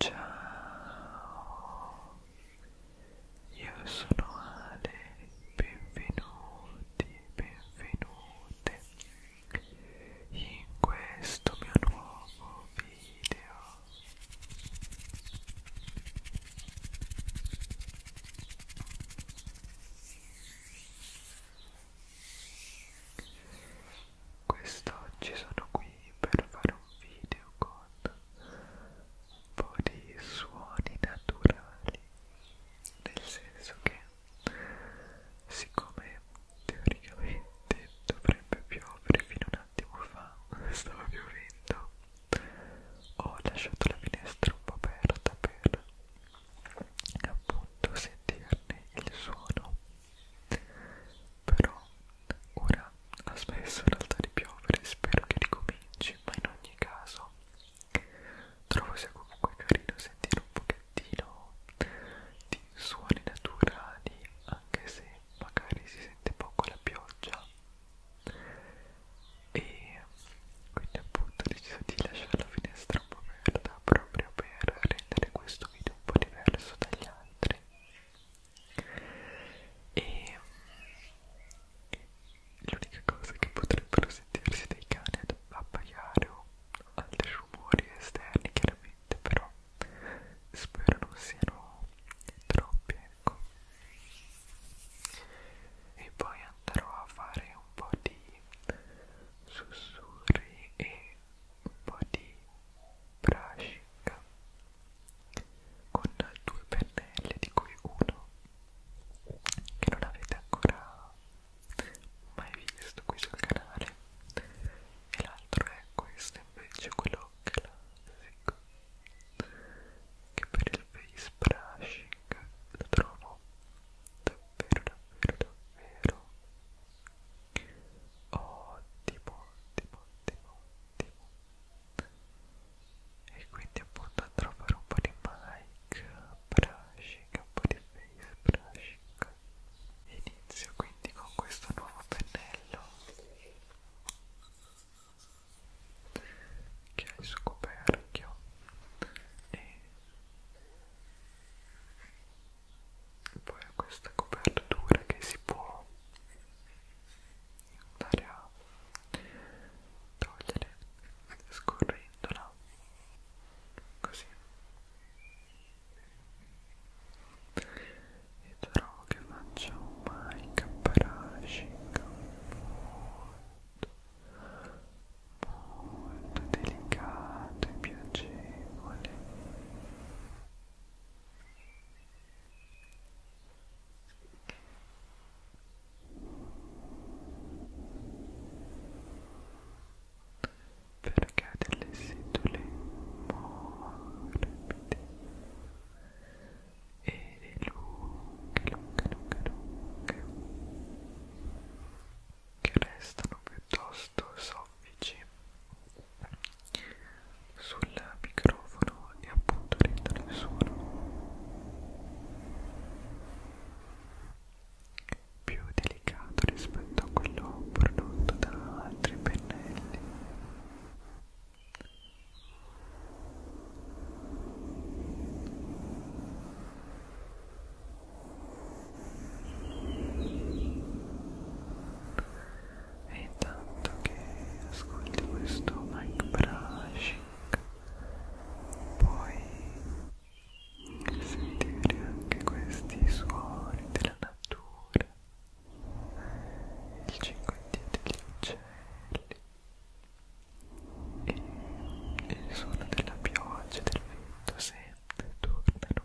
Ciao, io sono Ale, benvenuti, benvenute in questo mio nuovo video quest'oggi sono qui per fare un video con un po' di suoni naturali nel senso che siccome teoricamente dovrebbe piovere fino un attimo fa stava piovendo ho lasciato la finestra un po' aperta per appunto sentirne il suono però Ora ha smesso in realtà di piovere, spero che ricominci, ma in ogni caso trovo sia comunque carino sentire un pochettino di suoni naturali, anche se magari si sente poco la pioggia. E quindi appunto ho deciso di lasciare la finestra un po' aperta proprio per rendere questo video un po' diverso dagli altri e l'unica cosa che potrebbero sentirsi dei cani ad abbaiare o altri rumori esterni chiaramente però spero non siano troppi ecco e poi andrò a fare un po' di sussurri e un po' di brashica con due pennelli di cui uno che non avete ancora mai visto qui sul canale e l'altro è questo invece quello classico che per il face brushing lo trovo davvero davvero davvero ottimo ottimo ottimo ottimo e quindi appunto andrò a fare un po' di mic brushing un po' di face brushing inizio quindi con questo nuovo pennello che ha il suo coperchio e poi ha questa copertura che si può andare a togliere scorrendola così e trovo che faccio un mic brushing molto molto delicato e piacevole perché delle setole morbide e lunghe, lunghe, lunghe, lunghe che restano piuttosto molto soffici sul microfono e appunto rendono il suono più delicato rispetto a quello prodotto da altri pennelli e intanto che ascolti questo mic brushing puoi sentire anche questi suoni della natura il cinquantio degli uccelli e il suono della pioggia del vento sempre tornano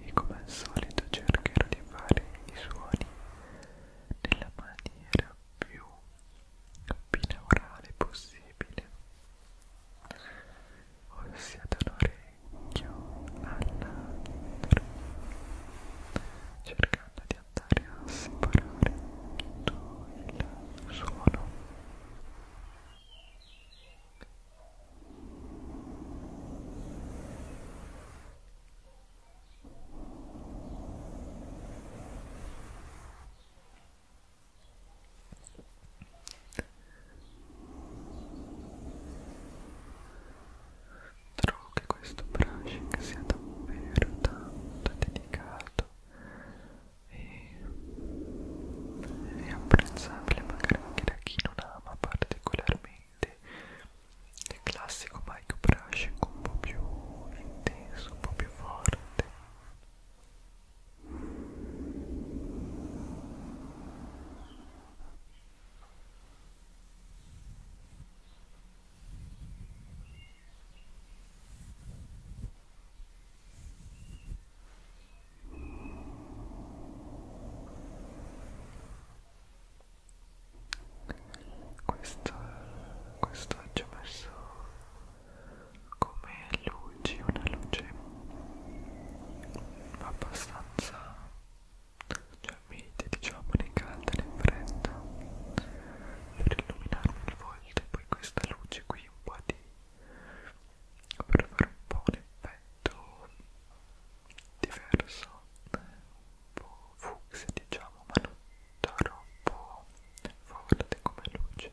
e come al solito cercherò di fare i suoni nella maniera più binaurale possibile ossia dall'orecchio all'altro cercando di andare a separare tutto il suono Trovo che questo brushing sia davvero tanto dedicato e è apprezzabile magari anche da chi non ama particolarmente il classico mic brushing un po' più intenso, un po' più forte e questo, questo ci ho messo come luci, una luce abbastanza cioè mite diciamo né calda né fredda per illuminarmi il volto e poi questa luce qui un po' di per fare un po' un effetto diverso, un po' fucsia diciamo, ma non troppo forte come luce.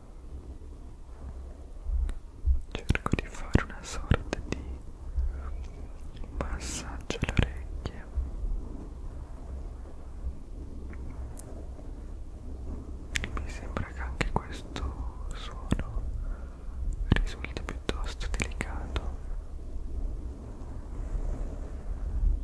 cerco di fare una sorta di massaggio alle orecchie mi sembra che anche questo suono risulti piuttosto delicato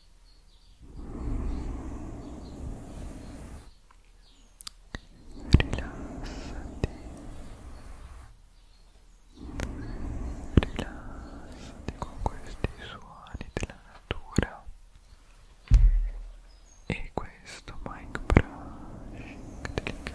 rilassati rilassati con questi suoni della natura e questo mic brushing delicato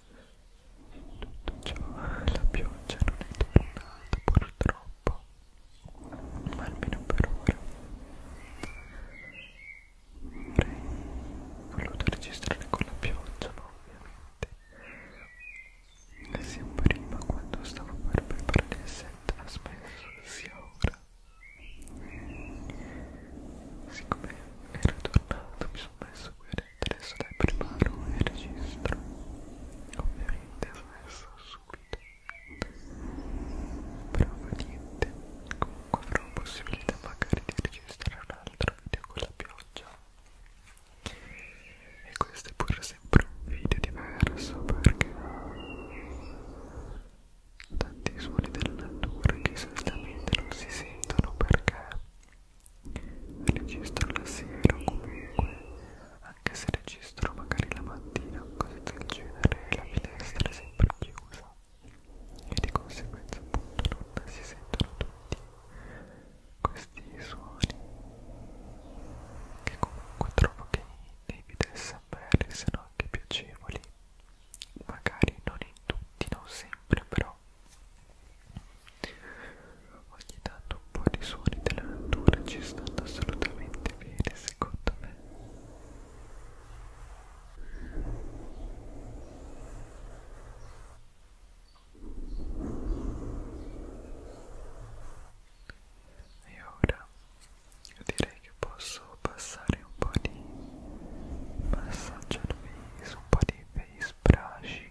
Tutto ciò, la pioggia non è tornata purtroppo, ma almeno per ora. Avrei voluto registrare con la pioggia, ma ovviamente ne sia prima quando stavo per preparare il set ha smesso sia ora. Siccome era tornato mi sono messo qui a adesso dai preparo e registro ovviamente adesso subito però fa niente comunque avrò possibilità magari di registrare un altro video con la pioggia e questo è pure sempre un video diverso perché tanti suoni della natura che solitamente non si sentono perché registro la sera comunque anche se registro magari la mattina cose del genere la finestra è sempre chiusa e di conseguenza appunto non si sentono tutti questi suoni che comunque trovo che nei video smr siano anche piacevoli magari non in tutti non sempre però Ogni tanto un po' di suoni della natura ci stanno assolutamente bene secondo me. E ora io direi che posso passare un po' di massaggio al viso, un po' di face brushing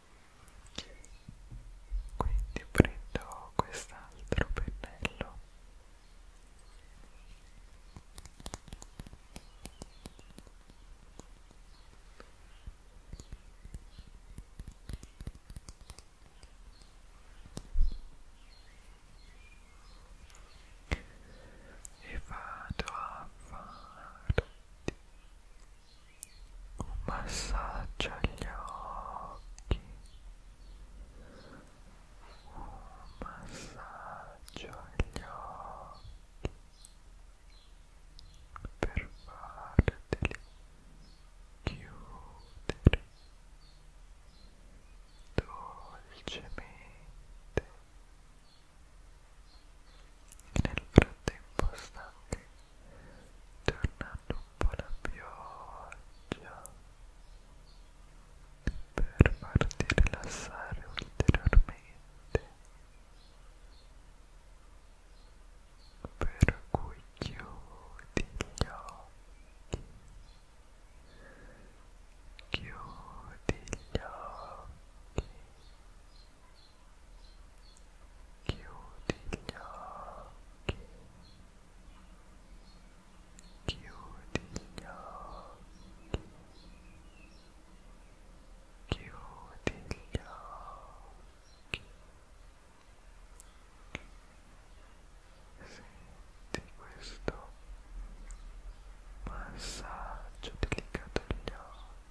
quindi prendo quest'altro pennello e vado a fare un massaggio agli occhi un massaggio agli occhi per farteli chiudere dolcemente nel frattempo sta anche tornando un po' la pioggia per farti rilassare ulteriormente per cui chiudi gli occhi chiudi gli occhi chiudi gli occhi chiudi gli occhi chiudi gli occhi senti questo massaggio delicato agli occhi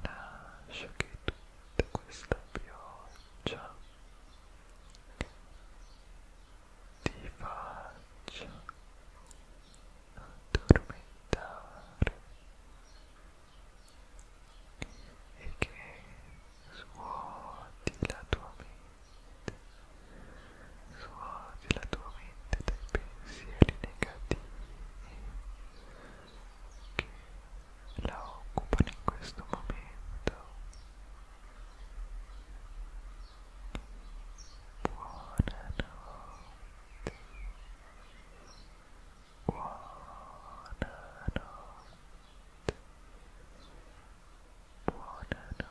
lascia che tutta questa pioggia ti faccia addormentare e che suoti la tua mente suoti la tua mente dai pensieri negativi che la occupano in questo momento buonanotte buonanotte buonanotte Buonanotte,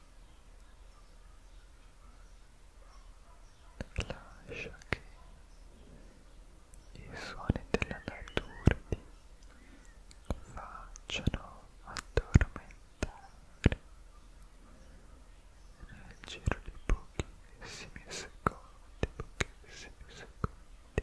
lascia che i suoni della natura ti facciano addormentare nel giro di pochissimi secondi, pochissimi secondi